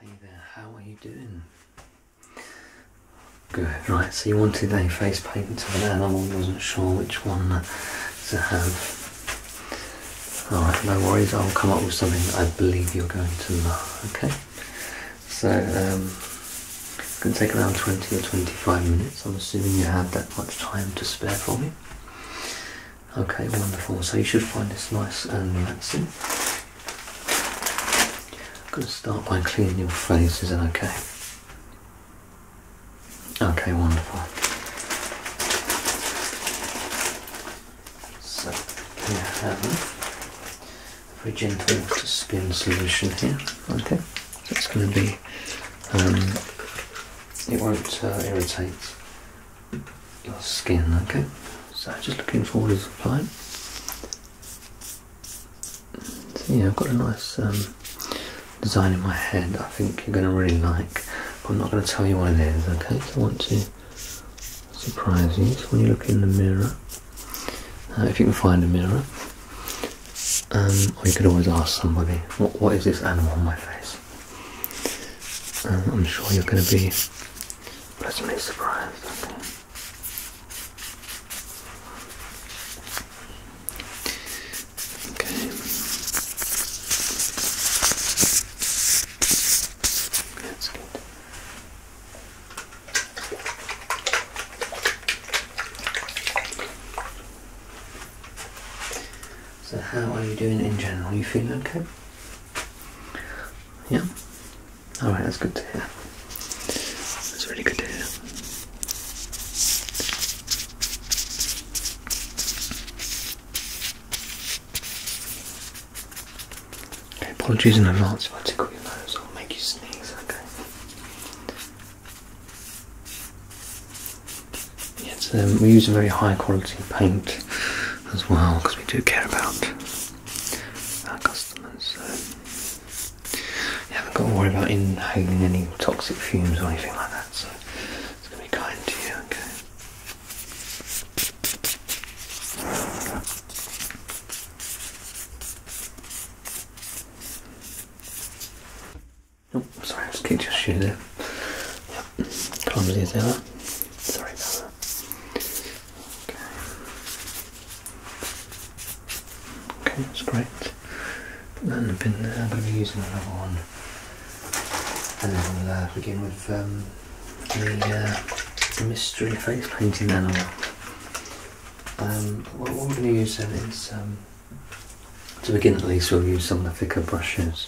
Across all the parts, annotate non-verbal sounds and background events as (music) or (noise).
Hey there, how are you doing? Good, right, so you wanted a face paint of an animal, wasn't sure which one to have. Alright, no worries, I'll come up with something I believe you're going to love, okay? So, um, it's going to take around 20 or 25 minutes, I'm assuming you have that much time to spare for me. Okay, wonderful. So you should find this nice and relaxing. I'm going to start by cleaning your face. Is that okay? Okay, wonderful. So we have um, a very gentle skin solution here. Okay, so it's going to be. Um, it won't uh, irritate your skin, okay? So just looking forward to applying. See, yeah, I've got a nice um, design in my head I think you're going to really like, I'm not going to tell you what it is, okay? I want to surprise you. So when you look in the mirror, uh, if you can find a mirror, um, or you could always ask somebody, what is this animal on my face? Um, I'm sure you're going to be pleasantly surprised. Okay. Okay. So, how are you doing in general? You feeling okay? Yeah. All oh, right, that's good to hear. That's really good to hear. apologies in advance if I tickle your nose or make you sneeze, okay? Um, we use a very high quality paint as well because we do care about our customers. So you haven't got to worry about inhaling any toxic fumes or anything like that. So it's going to be kind to you, Oh, sorry, I just kicked your shoe there. clumsy as ever. Sorry Okay. that's great. Put that in the bin there. I'm going to be using another one. And then we'll uh, begin with um, uh, the mystery face painting Then, um, what, we're going to use then is, um, to begin at least, we'll use some of the thicker brushes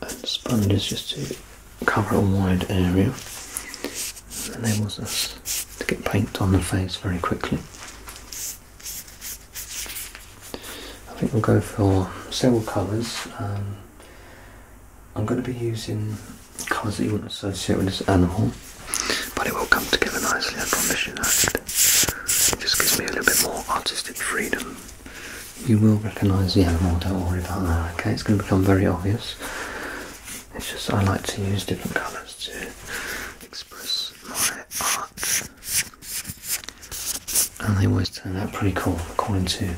and the sponge is just to cover a wide area. It enables us to get paint on the face very quickly. I think we'll go for several colours. Um, I'm going to be using colours that you wouldn't associate with this animal, but it will come together nicely, I promise you that. It just gives me a little bit more artistic freedom you will recognise the animal, don't worry about that, okay? It's going to become very obvious. It's just I like to use different colours to express my art. And they always turn out pretty cool, according to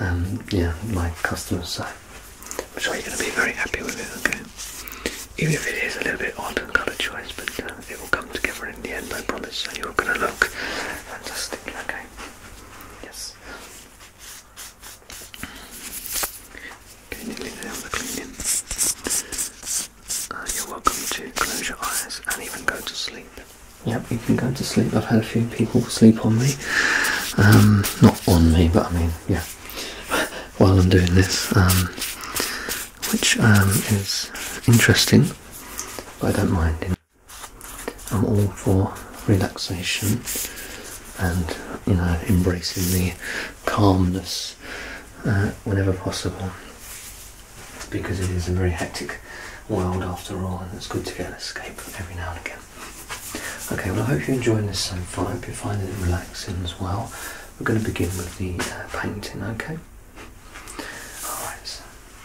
um, yeah, my customers' side. I'm sure you're going to be very happy with it, okay? Even if it is a little bit odd colour choice, but uh, it will come together in the end, I promise, you're going to look fantastic, okay? Yes. Okay, uh, you're welcome to close your eyes and even go to sleep. Yep, you can go to sleep. I've had a few people sleep on me. Um, not on me, but I mean, yeah, while I'm doing this. Um, which um, is interesting but I don't mind him. I'm all for relaxation and you know embracing the calmness uh, whenever possible because it is a very hectic world after all and it's good to get an escape every now and again. Okay, well I hope you're enjoying this I hope you're finding it relaxing as well. We're going to begin with the uh, painting, okay? Alright,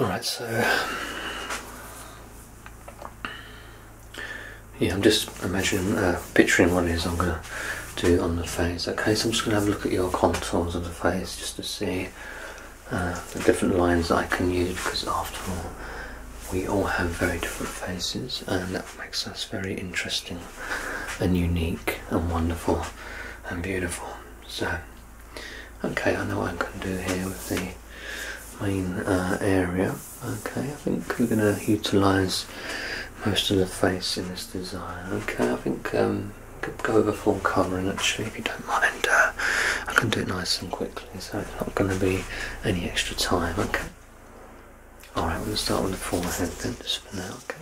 All right, so yeah, I'm just imagining, uh, picturing what it is I'm gonna do on the face. Okay, so I'm just gonna have a look at your contours of the face just to see uh, the different lines that I can use because after all, we all have very different faces and makes us very interesting and unique and wonderful and beautiful. So, okay, I know what I am gonna do here with the main uh, area. Okay, I think we're going to utilise most of the face in this design. Okay, I think um, go over full And actually if you don't mind. Uh, I can do it nice and quickly, so it's not going to be any extra time. Okay. Alright, we're going to start with the forehead then, just for now, okay? Okay.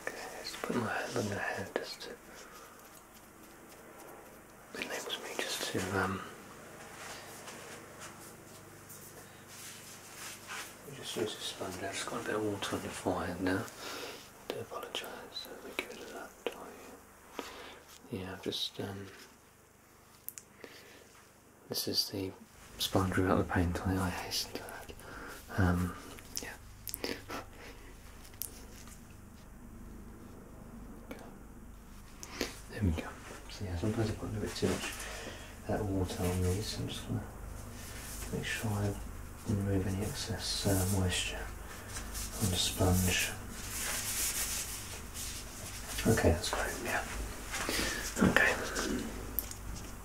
Okay, just put my hand on your head just to enables me just to um just use a sponge, I've just got a bit of water on your forehead now. I do apologise, so we get rid of that for you. Yeah, I've just um this is the sponge without the paint on it, I hasten to that. Um, yeah. (laughs) There we go. yeah, sometimes I put a little bit too much that uh, water on these, I'm just going to make sure I remove any excess uh, moisture on the sponge. Okay, that's great, yeah. Okay.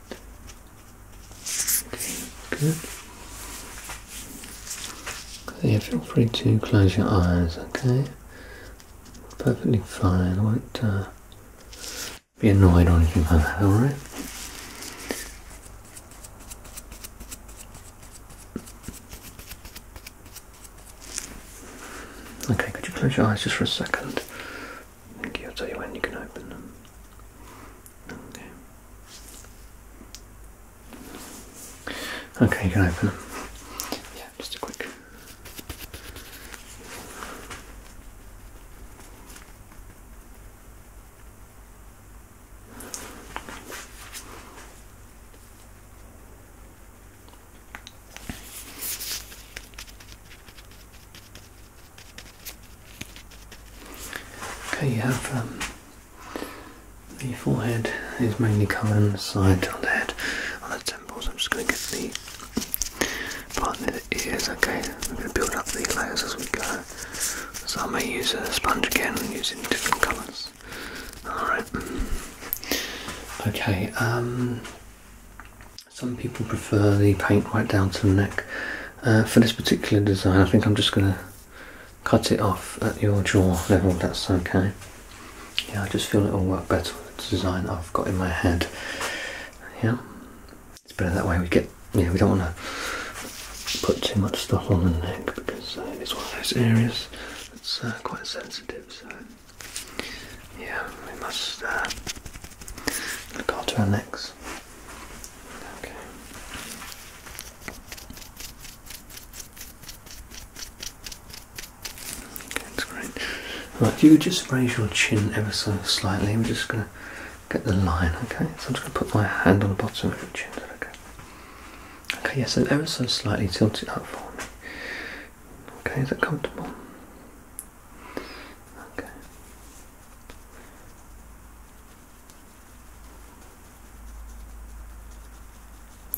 Okay, good. Yeah, feel free to close your eyes, okay? Perfectly fine. I won't uh, be annoyed or anything like that, alright? Okay, could you close your eyes just for a second? Okay, I'll tell you when you can open them. Okay. Okay, you can open them. Yeah, just a quick. Okay, you have um, the forehead is mainly covered on the side, on the head, on the temples. I'm just going to get the part near the ears. Okay, I'm going to build up the layers as we go. So I may use a sponge again and use in different colours. Alright. Okay, um, some people prefer the paint right down to the neck. Uh, for this particular design, I think I'm just going to cut it off at your jaw level, that's okay. Yeah, I just feel it'll work better with the design I've got in my head. Yeah, it's better that way. We get, you we don't want to put too much stuff on the neck because uh, it's one of those areas that's uh, quite sensitive. So yeah, we must uh, look after our necks. Okay. okay great. Right, if you could just raise your chin ever so slightly, we're just going to get the line, okay? So I'm just going to put my hand on the bottom of your chin, okay? Okay, yeah, so ever so slightly tilt it up for me. Okay, is that comfortable? Okay.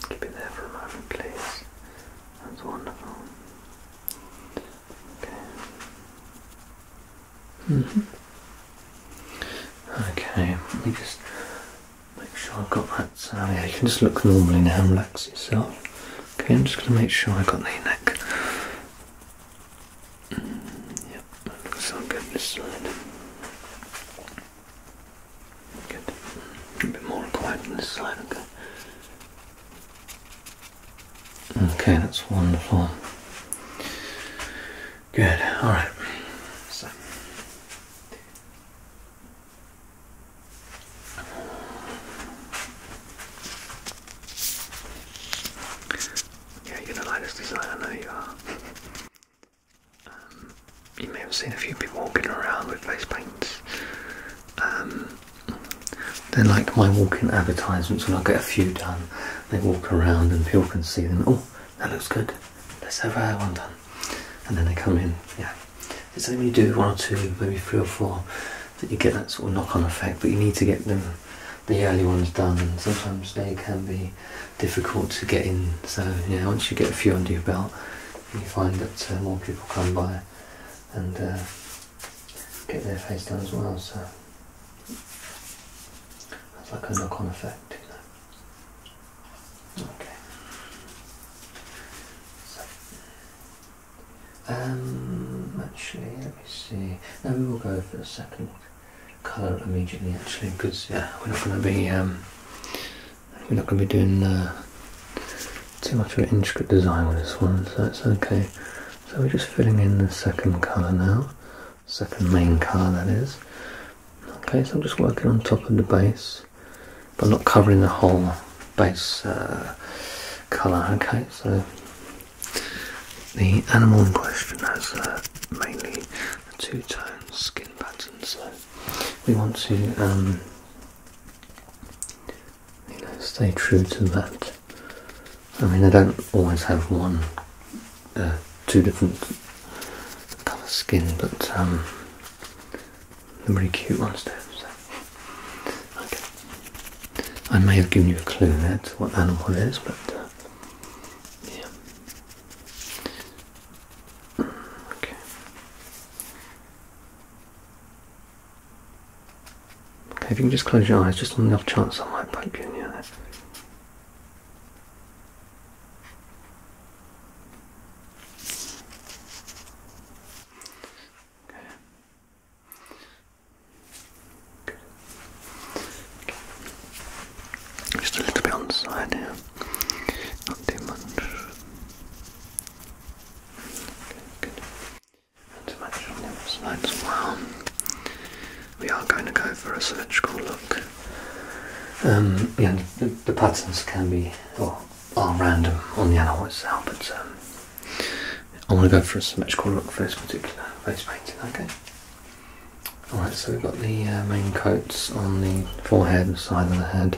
Keep it there for a moment, please. That's wonderful. Okay. -hmm. Okay, let me just make sure I've got that. So, yeah, you can just look normally now and relax yourself. Okay, I'm just going to make sure I have got the neck Yep, looks all good this side. Good. A bit more quiet this side, okay. Okay, that's wonderful. Good, alright. So yeah, you're gonna design, I know you are. Um, you may have seen a few people walking around with face paints. Um, they're like my walking advertisements when I get a few done. They walk around and people can see them. Oh, that looks good. Let's have uh, one done. And then they come in. Yeah. It's only do one or two, maybe three or four that you get that sort of knock-on effect. But you need to get them the early ones done, and sometimes they can be difficult to get in. So yeah, once you get a few under your belt, you find that uh, more people come by and uh, get their face done as well. So that's like a knock-on effect. You know? Okay. So um, actually, let me see. Now we will go for the second colour immediately. Actually, because yeah, we're not going to be um, we're not going to be doing uh, too much of an intricate design with this one, so it's okay. So we're just filling in the second colour now, second main colour that is. Okay, so I'm just working on top of the base, but not covering the whole base uh, colour. Okay, so the animal in question has uh, mainly two-tone skin patterns, so we want to um, stay true to that. I mean, I don't always have one, uh, two different colour skin, but um, they're really cute ones do. Okay. I may have given you a clue there to what animal it is, but uh, yeah. Okay. Okay, if you can just close your eyes, just on the off chance I might poke you in the eye. Okay. Just a little bit on the side here, not too much. And to match other side as well, we are going to go for a surgical look. Um, yeah, the, patterns can be, or random on the animal itself, but um, I want to go for a symmetrical look for this particular face painting, okay? Alright, so we've got the uh, main coats on the forehead and side of the head.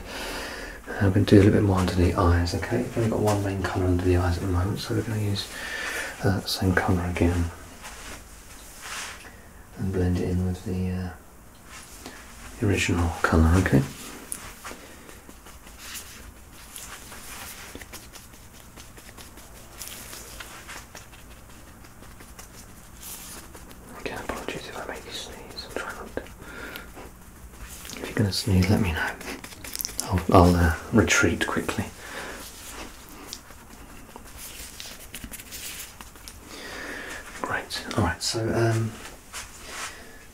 Uh, we're going to do a little bit more under the eyes, okay? We've only got one main colour under the eyes at the moment, so we're going to use uh, that same colour again and blend it in with the uh, original colour, okay? Again, apologies if I make you sneeze. I'm trying not to. If you're gonna sneeze, let me know. I'll, uh, retreat quickly. Great. All right. So um,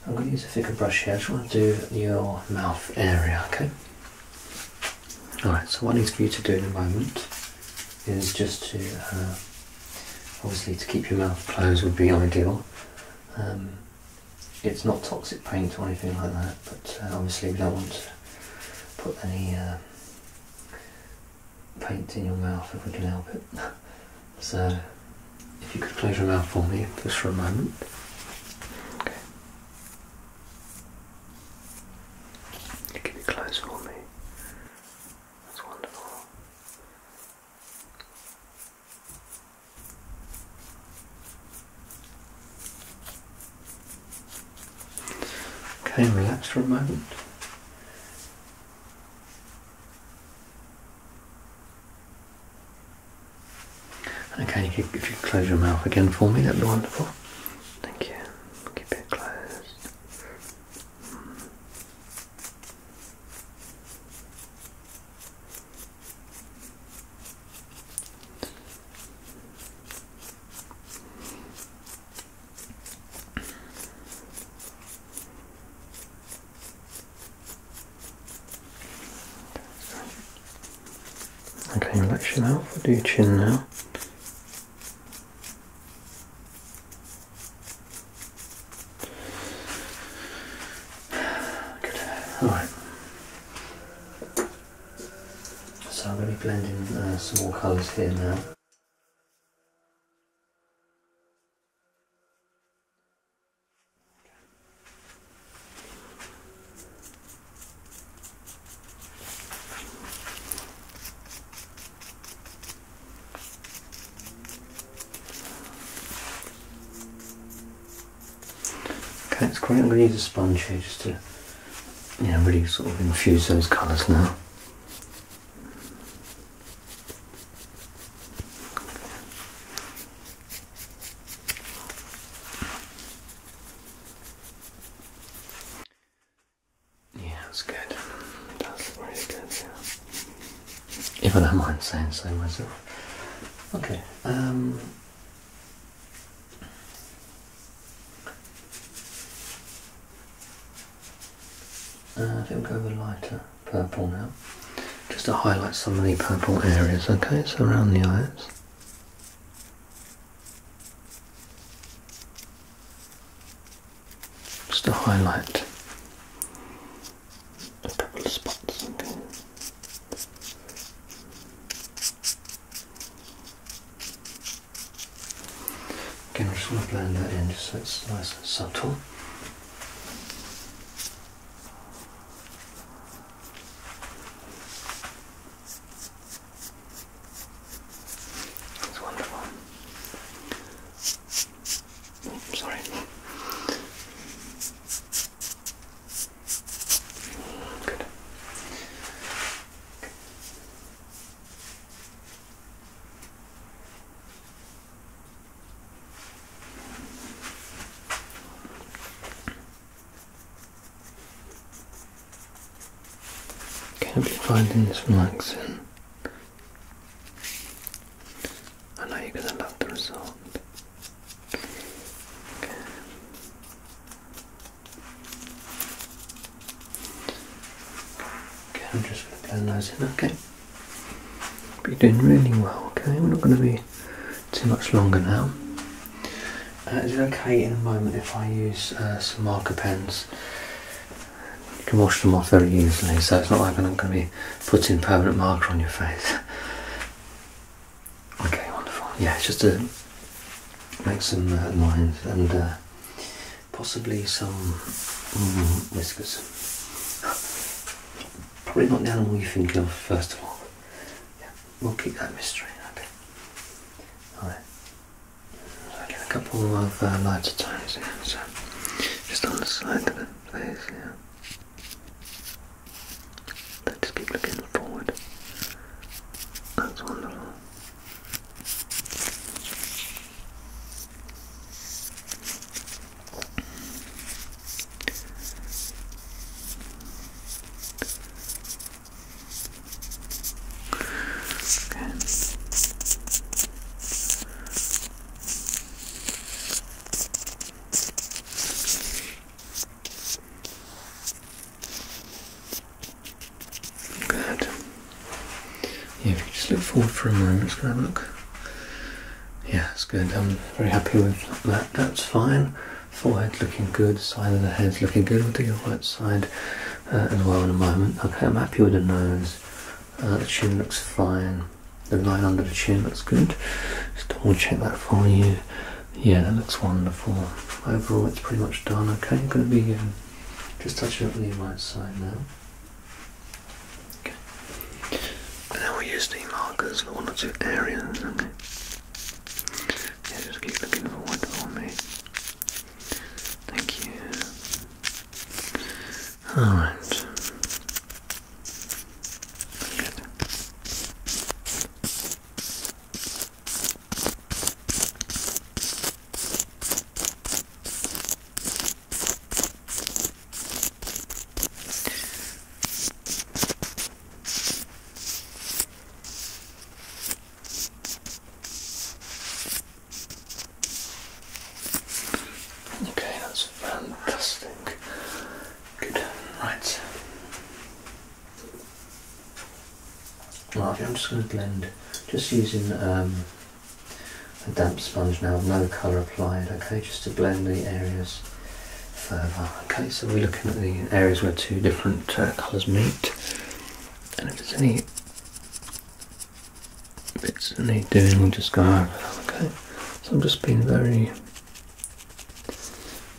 I'm gonna use a thicker brush here. I just want to do your mouth area. Okay. Alright, so what needs for you to do in a moment is just to, uh, obviously to keep your mouth closed would be ideal. Um, it's not toxic paint or anything like that, but uh, obviously we don't want to put any uh, paint in your mouth if we can help it. (laughs) so if you could close your mouth for me just for a moment. You keep it close for me. That's wonderful. Okay, relax for a moment. Okay, you could, if you close your mouth again for me, that'd be wonderful. Thank you. Keep it closed. Okay, relax your mouth, do your chin now. Good. Alright. So I'm going to be blending uh, some more colours here now. Okay, that's great. I'm going to use a sponge here just to you really sort of infuse those colours now. Yeah, that's good. That's really good, yeah. Even I mind saying so myself. Okay, um... Uh, I think we'll go with lighter purple now. Just to highlight some of the purple areas, okay? So around the eyes. Just to highlight a couple of spots. Okay. Again, I just want to blend that in just so it's nice and subtle. It's wonderful. sorry. Good. Can't be finding this relaxing. I know you're gonna love the result. Okay. I'm just gonna blow those in, okay? be doing really well, okay? We're not gonna be too much longer now. Uh, is it okay in a moment if I use uh, some marker pens? You can wash them off very easily, so it's not like I'm going to be putting permanent marker on your face. (laughs) okay, wonderful. Yeah, just to make some uh, lines and uh, possibly some mm, whiskers. Probably not the animal you think of first of all we'll keep that mystery open. Alright. So a couple of uh, lighter tones here, so just on the side of the please, yeah. But just keep looking forward. That's wonderful. Okay. Good. Yeah, if you just look forward for a moment, let just grab and look. Yeah, that's good. I'm very happy with that. That's fine forehead looking good, side of the head's looking good. We'll do your right side uh, as well in a moment. Okay, I'm happy with the nose. Uh, the chin looks fine. The line under the chin looks good. Just double check that for you. Yeah, that looks wonderful. Overall, it's pretty much done. Okay, I'm going to be um, just touching up the right side now. Okay. And then we'll use the markers for one or two areas just keep looking forward for me. Thank you. Alright. Okay, that's fantastic. Good. Right. I'm just going to blend, just using um, a damp sponge now no colour applied, okay, just to blend the areas further. Okay, so we're looking at the areas where two different uh, colours meet, and if there's any bits that need doing, we'll just go over them. Okay, so I'm just being very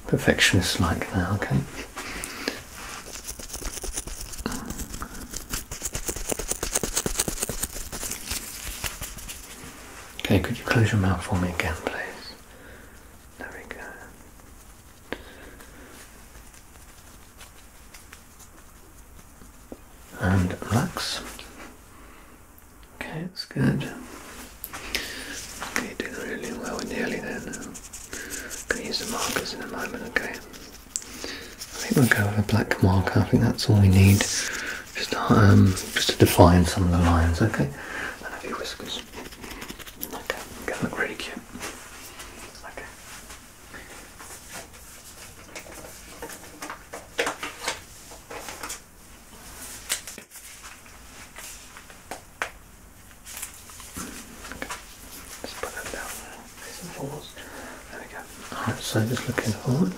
perfectionist like now. Okay. Okay, could you close your mouth for me again, please? There we go. And relax. Okay, it's good. Okay, you're doing really well with nearly then. I'm going to use markers in a moment, okay? I think we'll go with a black marker. I think that's all we need. Just, um, just to define some of the lines, okay? And a few whiskers. Okay, gonna look really cute. Okay. let put that down there. we go. Alright, so just looking forward.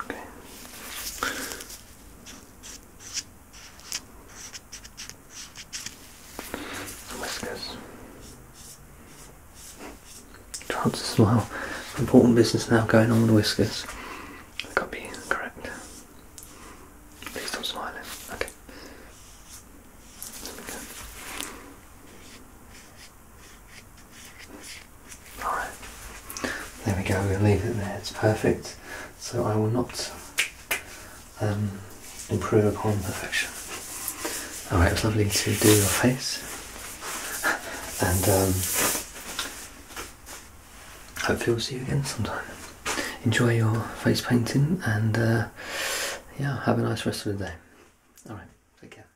Okay. Whiskers. Chance as well. Important business now going on with whiskers. I've got to be correct. Please stop smiling. Okay. Alright, there we go, we'll leave it there, it's perfect. So I will not um, improve upon perfection. Alright, it was lovely to do your face. (laughs) and um, hopefully we'll see you again sometime. Enjoy your face painting and uh, yeah, have a nice rest of the day. Alright, take care.